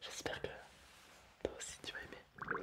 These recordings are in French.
J'espère que toi aussi tu vas aimer.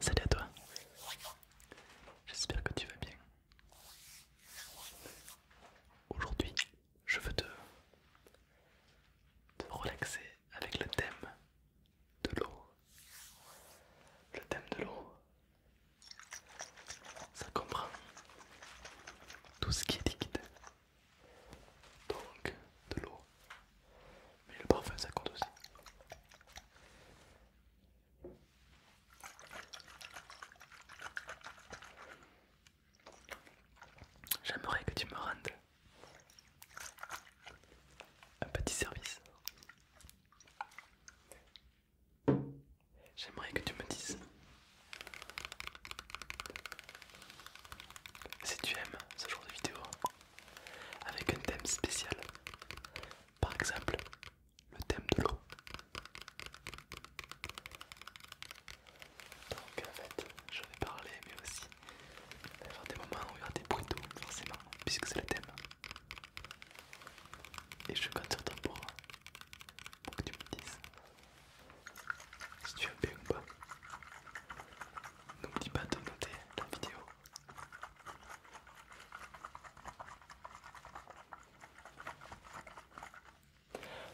Salut à toi. J'espère que tu vas bien. Aujourd'hui, je veux te, relaxer avec le thème de l'eau. Le thème de l'eau, ça comprend tout ce qui est liquide. Donc, de l'eau, mais le parfum ça compte aussi. J'aimerais que tu me rendes un petit service. J'aimerais que tu me dises si tu aimes ce genre de vidéo avec un thème spécial. Par exemple, le thème de l'eau. Donc en fait, je vais parler, mais aussi il va avoir des moments où il y aura des bruits d'eau, forcément, puisque c'est le thème. Et je compte sur toi pour, euh, pour que tu me dises si tu as bien ou pas. N'oublie pas de noter la vidéo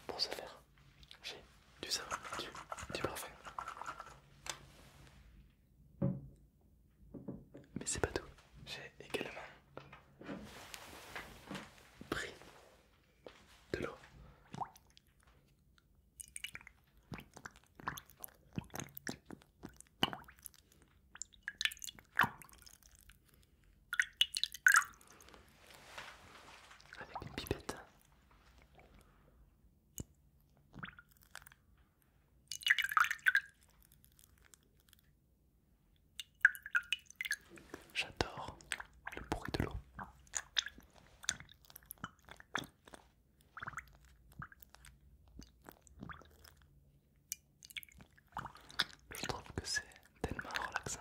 pour ce faire, j'ai du savon, du, du parfum. Mais c'est pas tout. J'ai également pris de l'eau avec une pipette. J'adore le bruit de l'eau. Je trouve que c'est tellement relaxant.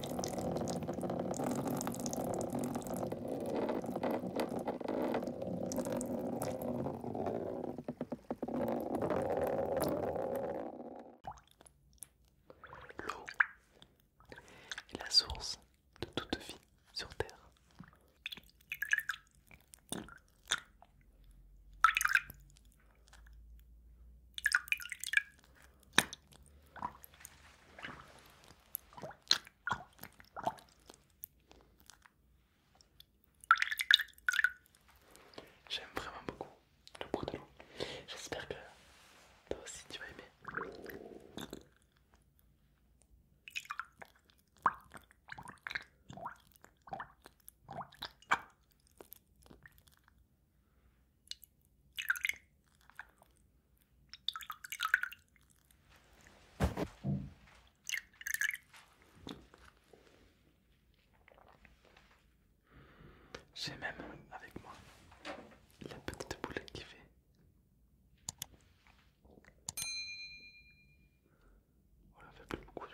L'eau est la source de toute vie sur Terre. J'aime vraiment beaucoup le bruit de l'eau. J'espère que toi aussi tu vas aimer. J'ai même avec moi la petite boule qui fait. Voilà, oh, fait beaucoup de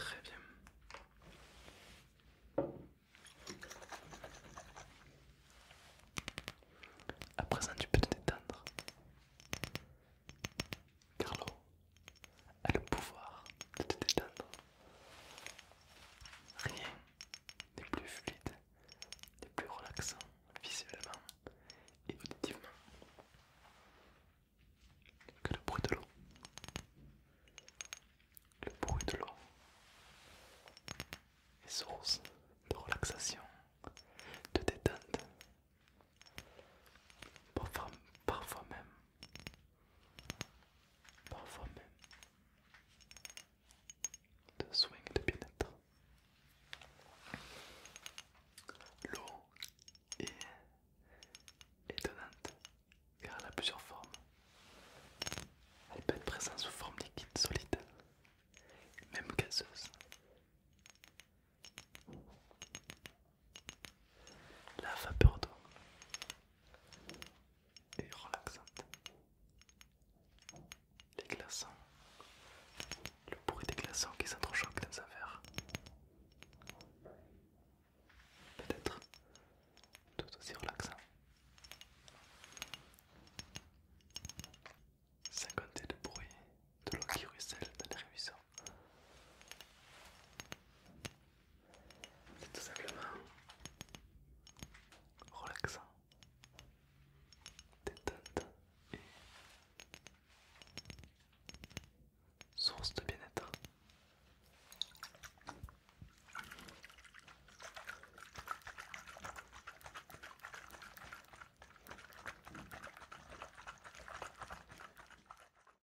Très bien. À présent, tu peux te détendre. Car l'eau a le pouvoir de te détendre. Rien n'est plus fluide, n'est plus relaxant visuellement et auditivement que le bruit de l'eau. Le bruit de l'eau est source de relaxation, de détente, parfois même parfois même de soins de bien-être. L'eau est étonnante car elle a plusieurs formes. Elle peut être présente sous forme liquide, solide, même gazeuse la vapeur d'eau est relaxante. Les glaçons, le bruit des glaçons qui s'entrechoquent dans un verre. Peut-être tout aussi relaxant. Sans compter de bruit de l'eau qui ruisselle dans les ruisseaux. C'est tout simplement relaxant, détente et source de bien-être.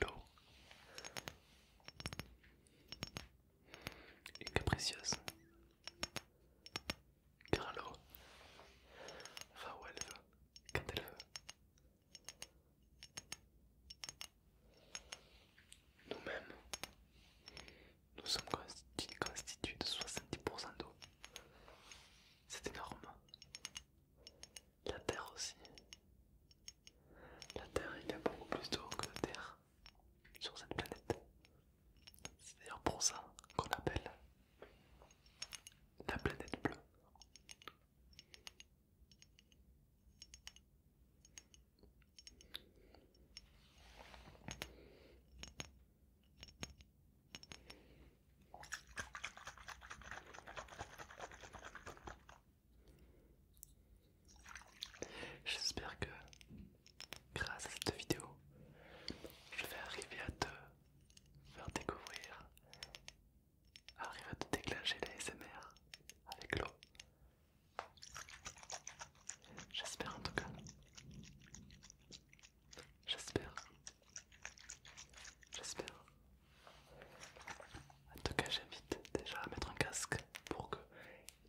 l'eau est capricieuse. Car l'eau va où elle veut, quand elle veut. Nous-mêmes, nous sommes constitués de 70% d'eau. C'est énorme. La terre aussi. La Terre, est beaucoup plus d'eau que la terre sur cette planète. C'est d'ailleurs pour ça qu'on appelle la planète bleue. J'espère que grâce à cette vidéo, je vais arriver à te faire découvrir, arriver à te déclencher les SMR avec l'eau. J'espère en tout cas. J'espère. J'espère. En tout cas, j'invite déjà à mettre un casque pour que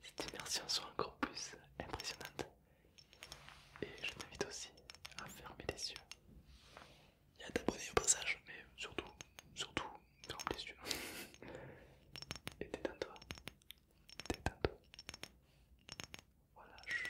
cette immersion soit encore plus impressionnante. Et je t'invite aussi à fermer les yeux et à t'abonner au passage, mais surtout, surtout, ferme les yeux. et détends-toi, détends-toi. Voilà, chut.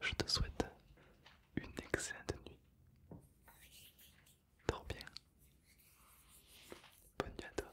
Je te souhaite une excellente nuit. Dors bien. Bonne nuit à toi.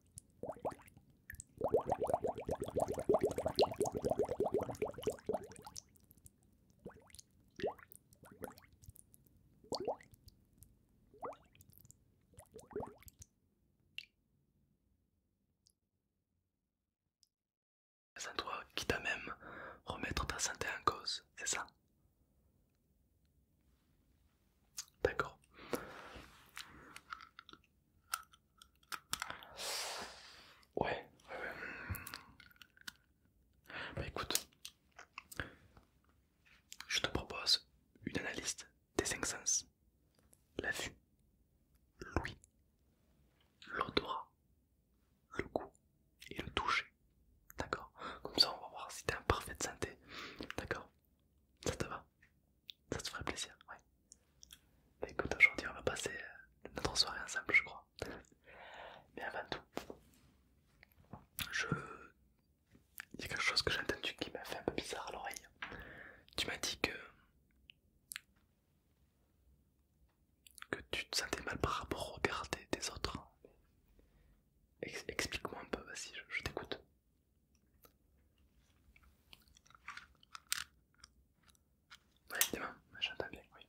C'est toi qui t'a même remettre ta santé en cause, c'est ça D'accord. Ouais, Bah écoute, je te propose une analyse des cinq sens. La vue, l'ouïe, l'odorat, le goût et le toucher. D'accord Comme ça on va voir si t'es en parfaite santé. D'accord Ça te va ça te ferait plaisir, ouais. Bah, écoute, aujourd'hui on va passer euh, notre soirée ensemble, je crois. Mais avant tout, je... il y a quelque chose que j'ai entendu qui m'a fait un peu bizarre à l'oreille. Tu m'as dit que... que tu te sentais mal par rapport au regard des, autres. Explique-moi un peu, vas-y, je t'écoute j'entends bien, oui,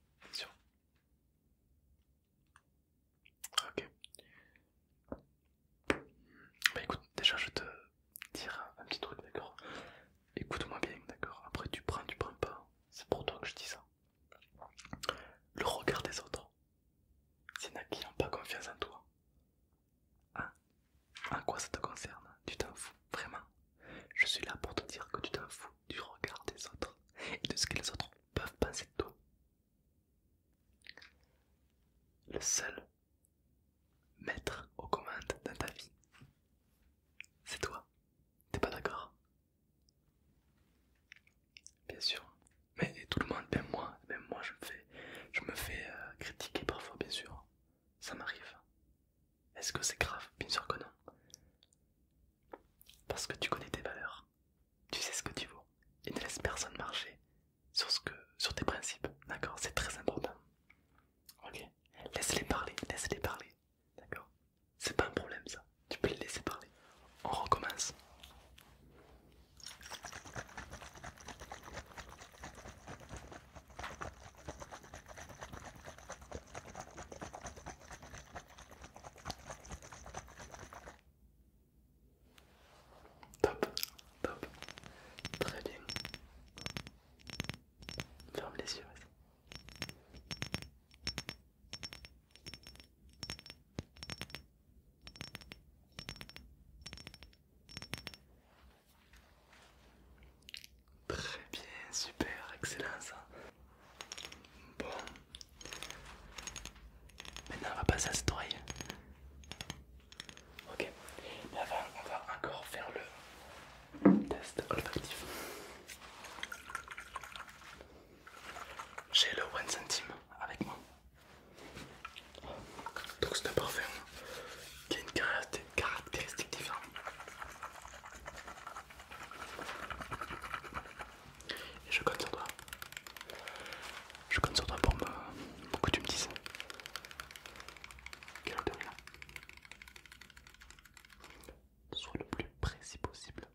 Ok. Bah écoute, déjà je te dire un petit truc, d'accord Écoute-moi bien, d'accord Après tu prends, tu prends pas. C'est pour toi que je dis ça. Le regard des autres, c'est qui n'ont pas confiance en toi, Hein ah, En quoi ça te concerne Tu t'en fous, vraiment Je suis là pour te dire que tu t'en fous du regard des autres et de ce que les autres peuvent penser de toi. Le seul maître aux commandes dans ta vie, c'est toi. T'es pas d'accord Bien sûr. Mais tout le monde, même moi, même moi je me fais, euh, critiquer parfois, bien sûr ça m'arrive. Est-ce que c'est grave Bien sûr que non. Parce que tu connais tes valeurs, tu sais ce que tu vaux, et ne laisse personne marcher sur, ce que, sur tes principes, d'accord C'est très important. Ok Laisse-les parler, laisse-les parler, d'accord C'est pas un problème ça, tu peux les laisser parler. On recommence. Top, top, très bien. Ferme les yeux. Très bien, super, excellent ça. Bon. Maintenant on va passer à cette oreille. Ok. Mais avant, on va encore faire le test olfactif. J'ai le 1 centime avec moi. Donc c'est un parfum qui a une caractéristique différente. Et je compte sur toi. Je compte sur toi pour, me, pour que tu me dises. Quelle odeur là Sois le plus précis possible.